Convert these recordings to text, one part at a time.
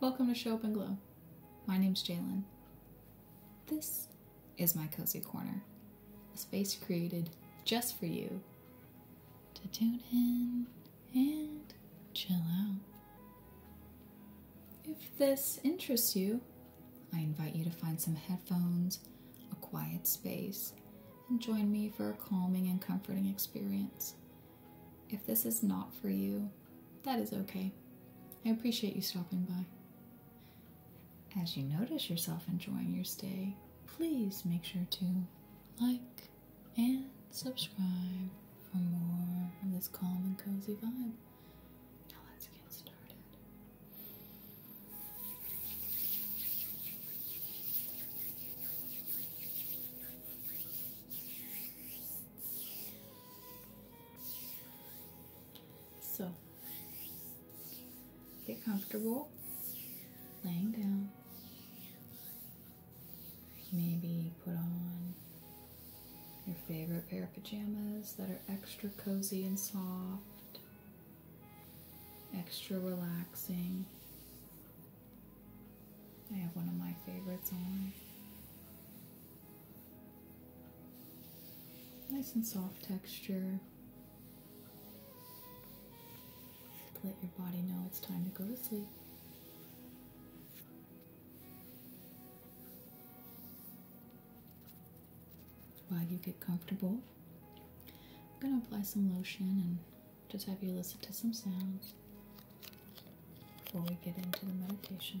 Welcome to Show Up and Glow. My name is Jalen. This is my cozy corner, a space created just for you to tune in and chill out. If this interests you, I invite you to find some headphones, a quiet space, and join me for a calming and comforting experience. If this is not for you, that is okay. I appreciate you stopping by. As you notice yourself enjoying your stay, please make sure to like and subscribe for more of this calm and cozy vibe. So, get comfortable laying down. Maybe put on your favorite pair of pajamas that are extra cozy and soft, extra relaxing. I have one of my favorites on. Nice and soft texture. Let your body know it's time to go to sleep. While you get comfortable, I'm going to apply some lotion and just have you listen to some sounds before we get into the meditation.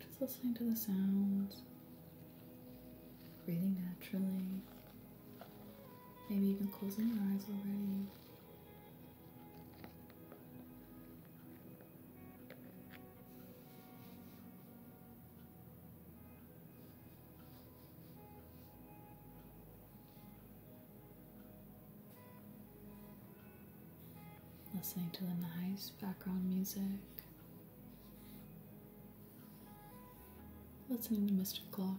Just listening to the sounds, breathing naturally, maybe even closing your eyes already. listening to the nice background music. Listening to Mr. Clock.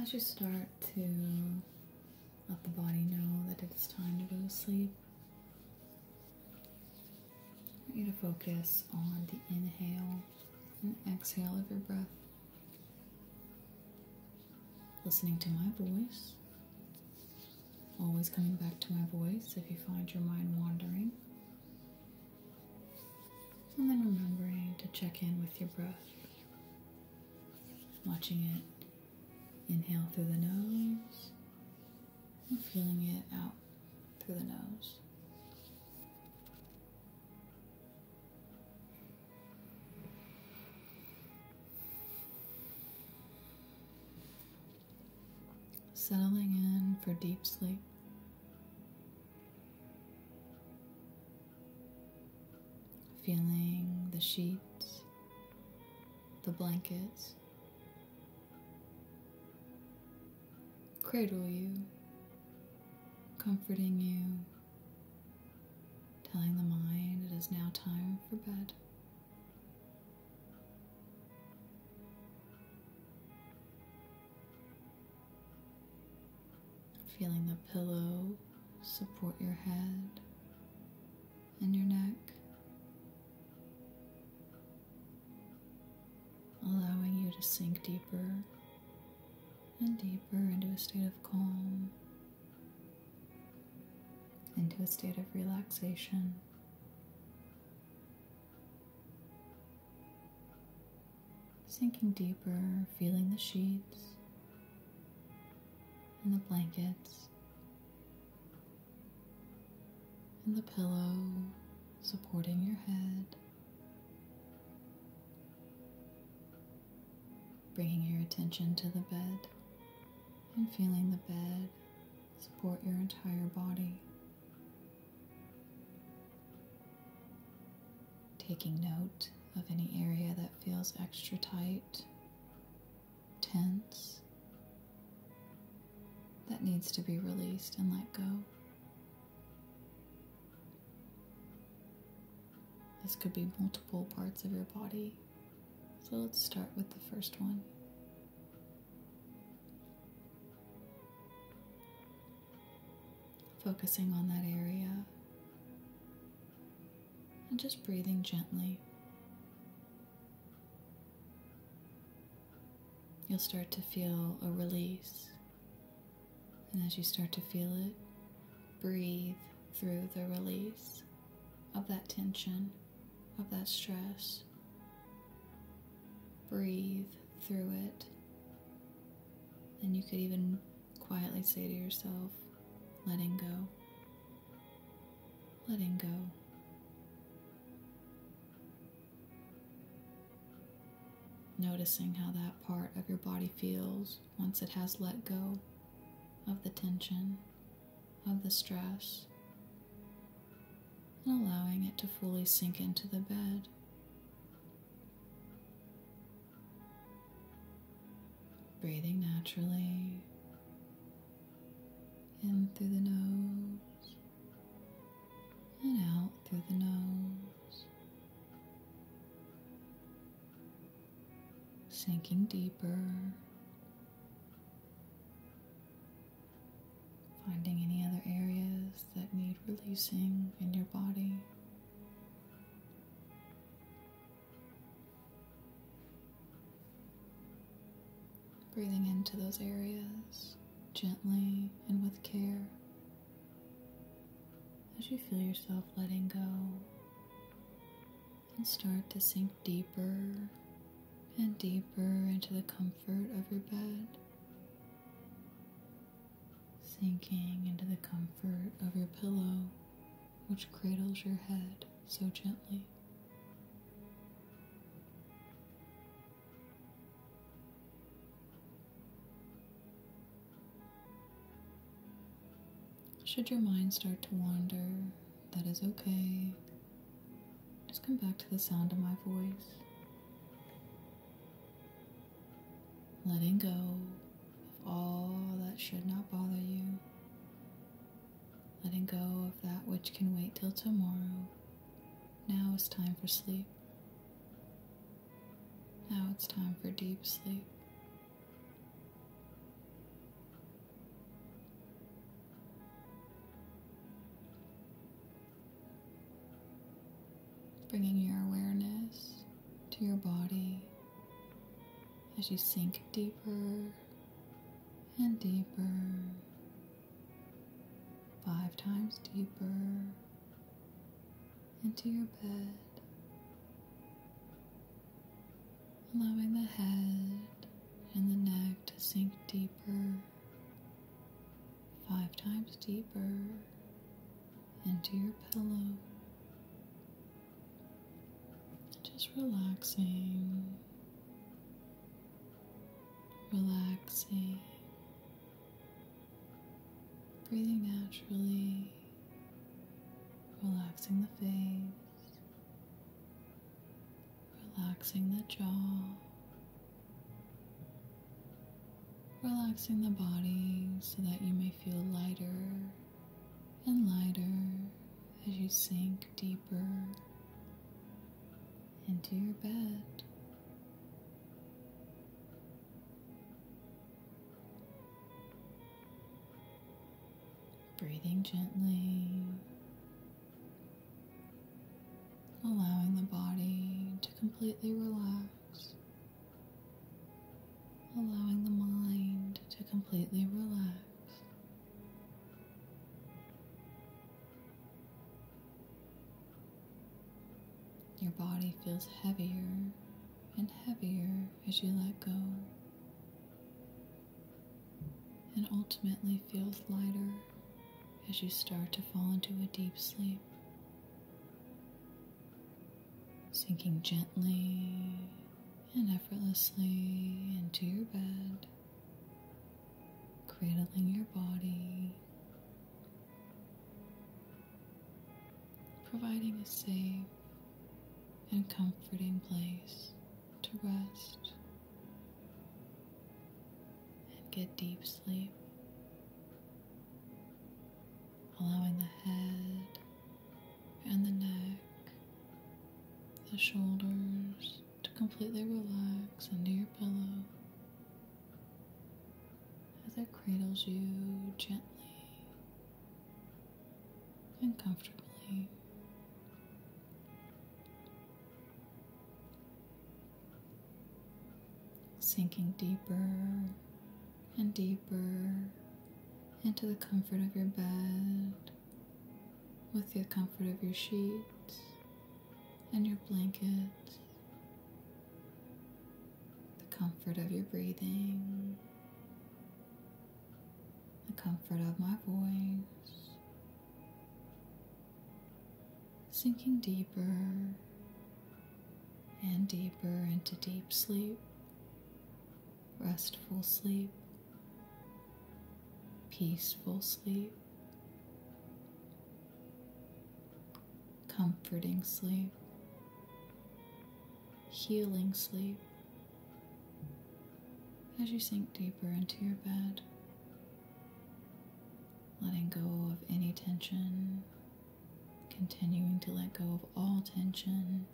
As you start to let the body know that it's time to go to sleep, I want you to focus on the inhale and exhale of your breath. Listening to my voice, always coming back to my voice if you find your mind wandering. And then remembering to check in with your breath, watching it inhale through the nose and feeling it out through the nose. Settling in for deep sleep. Feeling the sheets, the blankets cradle you, comforting you, telling the mind it is now time for bed. Feeling the pillow support your head and your neck, allowing you to sink deeper and deeper into a state of calm, into a state of relaxation. Sinking deeper, feeling the sheets and the blankets and the pillow supporting your head, bringing your attention to the bed and feeling the bed support your entire body. Taking note of any area that feels extra tight, tense, that needs to be released and let go. This could be multiple parts of your body, so let's start with the first one. Focusing on that area and just breathing gently. You'll start to feel a release. And as you start to feel it, breathe through the release of that tension, of that stress. Breathe through it and you could even quietly say to yourself, letting go, letting go. Noticing how that part of your body feels once it has let go of the tension, of the stress, and allowing it to fully sink into the bed Breathing naturally in through the nose and out through the nose. Sinking deeper, finding any other areas that need releasing in your body. Breathing into those areas gently and with care as you feel yourself letting go and start to sink deeper and deeper into the comfort of your bed sinking into the comfort of your pillow, which cradles your head so gently. Should your mind start to wander, that is okay. Just come back to the sound of my voice letting go of all that should not bother you, letting go of that which can wait till tomorrow. Now it's time for sleep. Now it's time for deep sleep. Bringing your awareness to your body as you sink deeper and deeper, five times deeper into your bed, allowing the head and the neck to sink deeper, five times deeper into your pillow. Just relaxing, relaxing, breathing naturally, relaxing the face, relaxing the jaw relaxing the body so that you may feel lighter and lighter as you sink deeper into your bed. Breathing gently, allowing the body to completely relax allowing the mind to completely relax. Your body feels heavier and heavier as you let go, and ultimately feels lighter as you start to fall into a deep sleep sinking gently and effortlessly into your bed, cradling your body, providing a safe and comforting place to rest and get deep sleep allowing the head and the neck, the shoulders to completely relax under your pillow as it cradles you gently and comfortably sinking deeper and deeper into the comfort of your bed with the comfort of your sheets and your blanket, the comfort of your breathing, the comfort of my voice sinking deeper and deeper into deep sleep, restful sleep, peaceful sleep, comforting sleep, healing sleep. As you sink deeper into your bed, letting go of any tension Continuing to let go of all tension,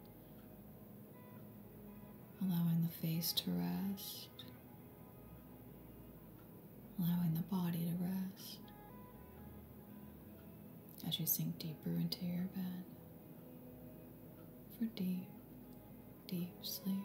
allowing the face to rest, allowing the body to rest as you sink deeper into your bed for deep, deep sleep.